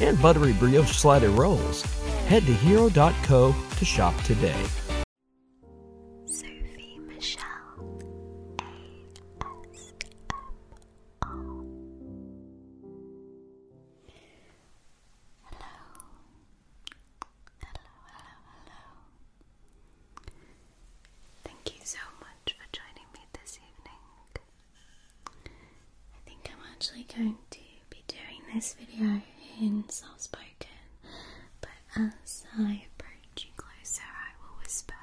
and buttery brioche slider rolls. Head to hero.co to shop today. Sophie Michelle ASMR. Hello. Hello, hello, hello. Thank you so much for joining me this evening. I think I'm actually going to be doing this video in soft spoken, but as I approach you closer, I will whisper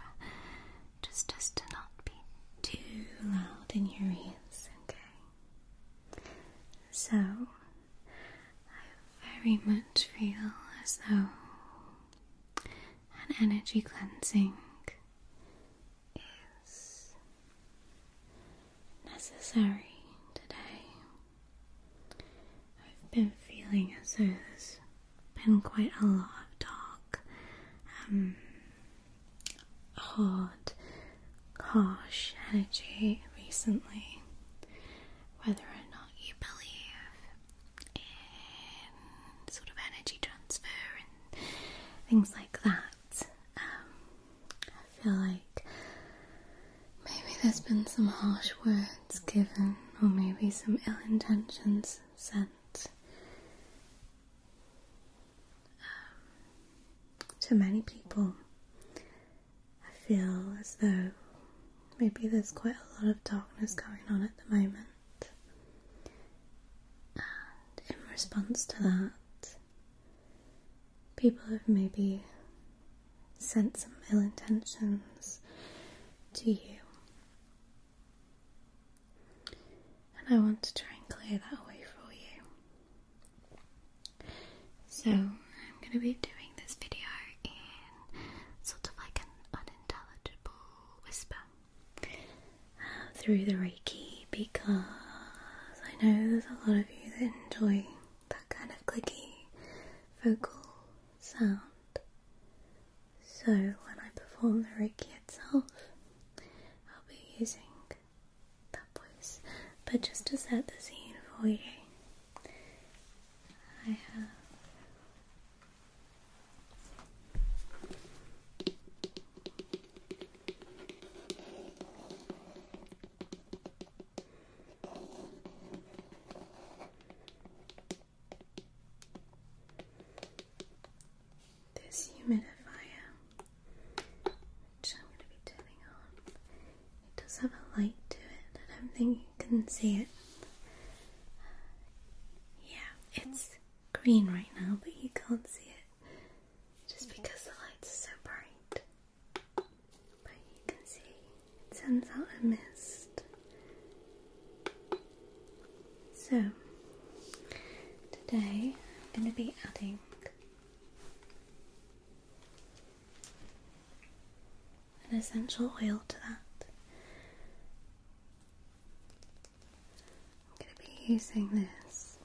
just as to not be too loud in your ears, okay? So, I very much feel as though an energy cleansing is necessary today. I've been feeling as though there's been quite a lot of talk, um, hard, harsh energy recently. Whether or not you believe in sort of energy transfer and things like that, um, I feel like maybe there's been some harsh words given, or maybe some ill intentions sent um, to many people. I feel as though maybe there's quite a lot of darkness going on at the moment. And in response to that, people have maybe sent some ill intentions to you. And I want to try and clear that away for you. So, I'm going to be doing this video in sort of like an unintelligible whisper through the Reiki because I know there's a lot of you that enjoy that kind of clicky vocal sound. So when I perform the Reiki itself, I'll be using that voice. But just to set the scene for you, I have. This humidifier, which I'm going to be turning on, it does have a light to it. I don't you can see it. Yeah, it's green right now, but you can't see it just because the light's so bright. But you can see it sends out a mist. So, today I'm going to be adding an essential oil to that. I'm going to be using this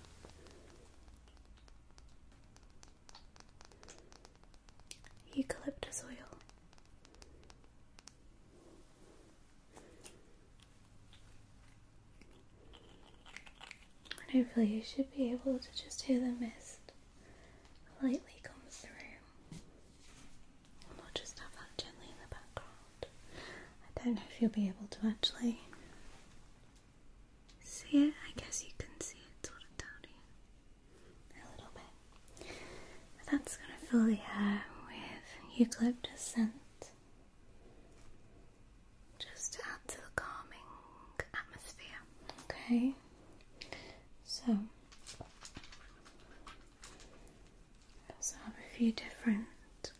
eucalyptus oil. And hopefully, you should be able to just hear the mist lightly come through. I'll just have that gently in the background. I don't know if you'll be able to actually See it? I guess you can see it sort of down here. A little bit. that's going to fill the air with eucalyptus scent. Just to add to the calming atmosphere. Okay? So, I also have a few different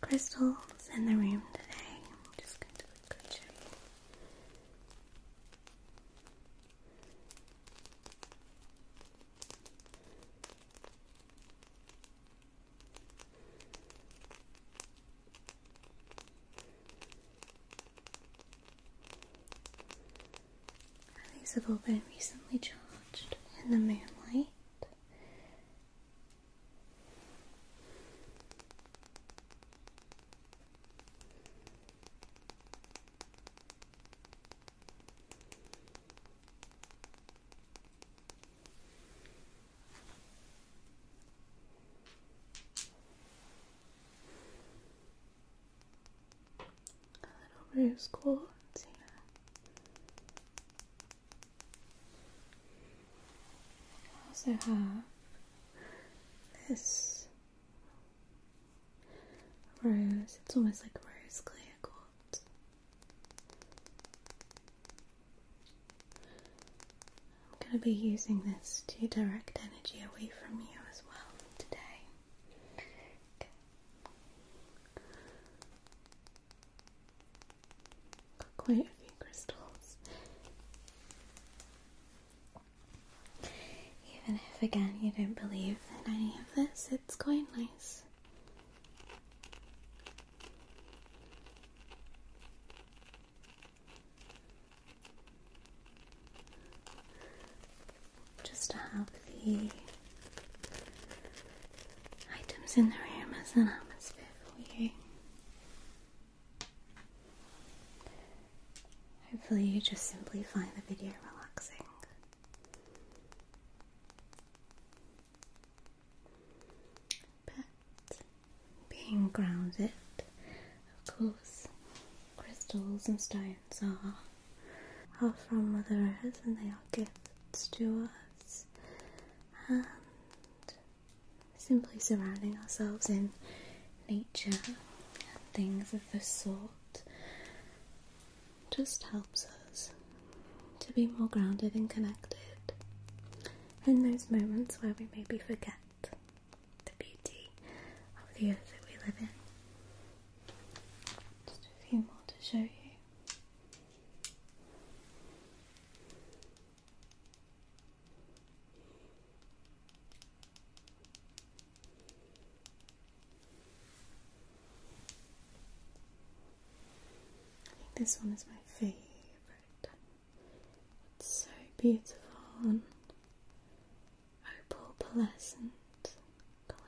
crystals in the room today. just going to quickly show you. These have all been recently charged in the moonlight. A little rose quartz I also have this rose, it's almost like rose clear quartz. I'm going to be using this to direct energy away from you as well today. Got quite a few crystals. Even if, again, you don't believe in any of this, it's quite nice. Just to have the items in the room as an atmosphere for you. Hopefully, you just simply find the video relaxing. But being grounded, of course, crystals and stones are are from Mother Earth and they are gifts to us and simply surrounding ourselves in nature and things of this sort just helps us to be more grounded and connected in those moments where we maybe forget the beauty of the earth that we live in. Just a few more to show you. I think this one is my favorite. It's so beautiful and opalescent color.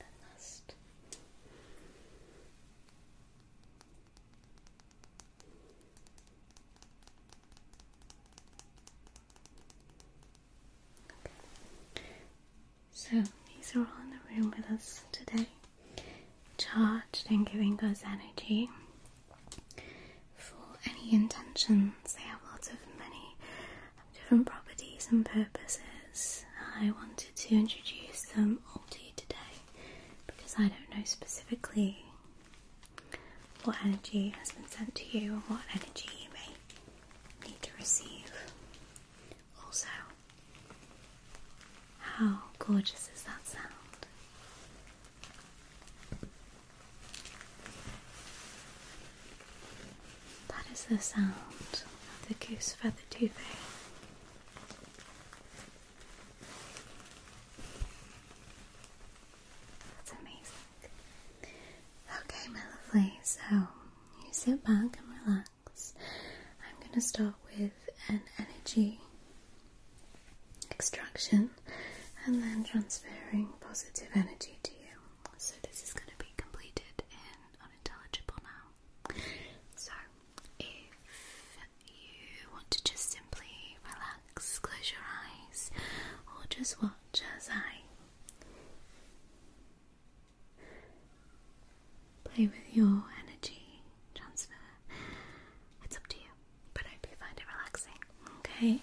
And last. Okay. So these are all in the room with us today, charged and giving us energy for any intentions. They have lots of many different properties and purposes. I wanted to introduce them all to you today because I don't know specifically what energy has been sent to you or what energy you may need to receive. Also, how gorgeous is that sound? That is the sound of the goose feather duvet. That's amazing. Okay, my lovely, so you sit back and relax. I'm going to start with an energy extraction and then transferring positive energy to you. So, this is going to be completed in unintelligible now. So, if you want to just simply relax, close your eyes, or just watch as I Play with your energy transfer. It's up to you, but I hope you find it relaxing. Okay.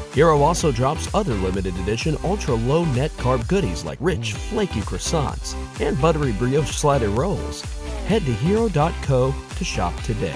Hero also drops other limited edition ultra low net carb goodies like rich, flaky croissants and buttery brioche slider rolls. Head to hero.co to shop today.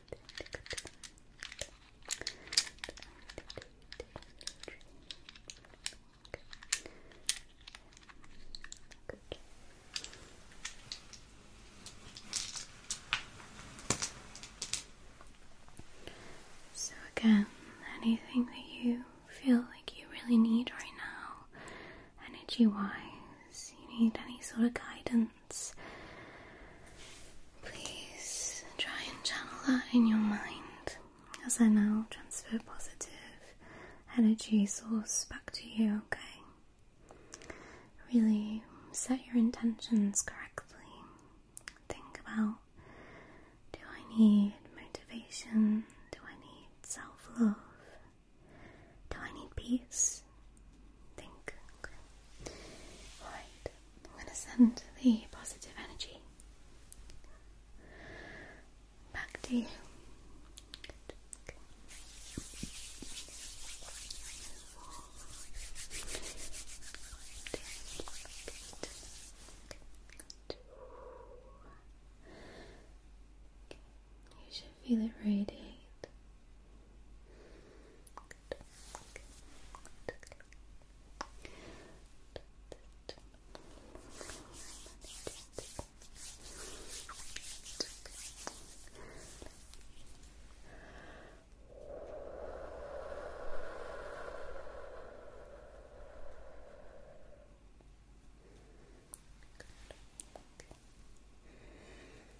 So, again, anything that you feel like you really need right now, energy wise, you need any sort of guidance Please try and channel that in your mind as I now transfer positive energy source back to you, okay? Really set your intentions correctly. Think about do I need motivation? Do I need self love? Do I need peace? think. Alright, I'm going to send the positive energy back to you feel it radiate.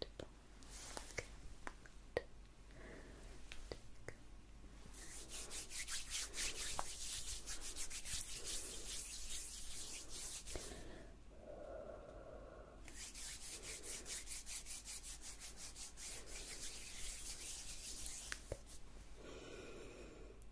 Good. Beautiful. Good. Good.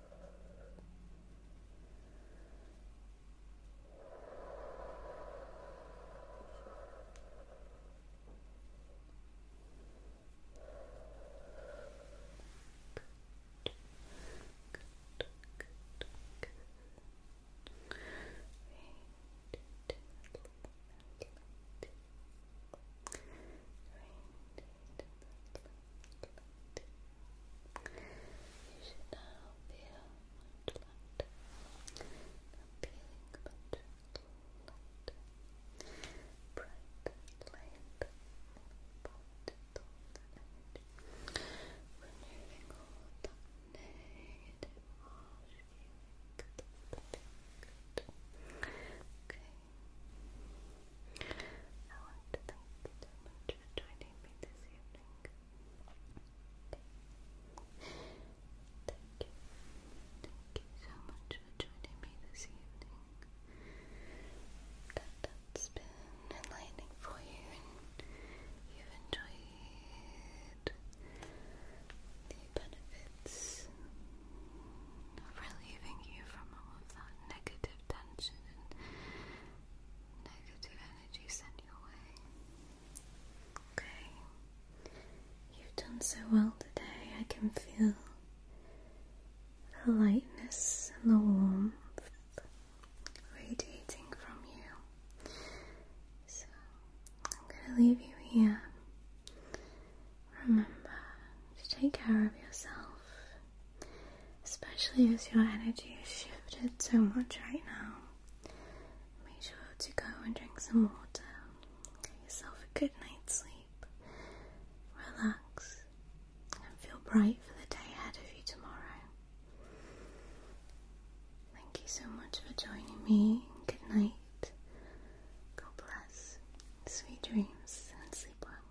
Good, good, good. Right. Right. You should now feel much lighter. I'm feeling much lighter. Bright light. Positive energy. Removing all the negative emotions. Good. Okay. I want to thank you so much for joining me this evening. Thank you. Thank you so much for joining me this evening. That, that's been enlightening for you you've enjoyed the benefits relieving you from all of that negative tension and negative energy sent your way. Okay, you've done so well today. I can feel the lightness and the warmth radiating from you. So, I'm going to leave you here remember to take care of yourself, especially as your energy has shifted so much right now. Make sure to go and drink some water, get yourself a good night's sleep, relax, and feel bright for the day ahead of you tomorrow. Thank you so much for joining me. Good night. God bless. Sweet dreams and sleep well.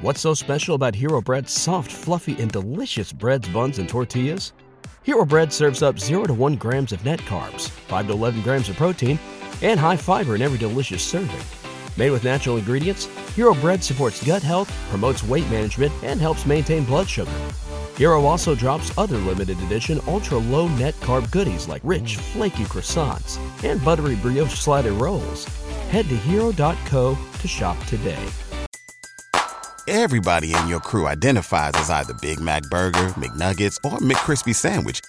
What's so special about Hero Bread's soft, fluffy, and delicious breads, buns, and tortillas? Hero Bread serves up 0 to 1 grams of net carbs, 5 to 11 grams of protein, and high fiber in every delicious serving. Made with natural ingredients, Hero Bread supports gut health, promotes weight management, and helps maintain blood sugar. Hero also drops other limited edition ultra low net carb goodies like rich, flaky croissants and buttery brioche slider rolls. Head to hero.co to shop today. Everybody in your crew identifies as either Big Mac Burger, McNuggets, or McCrispy Sandwich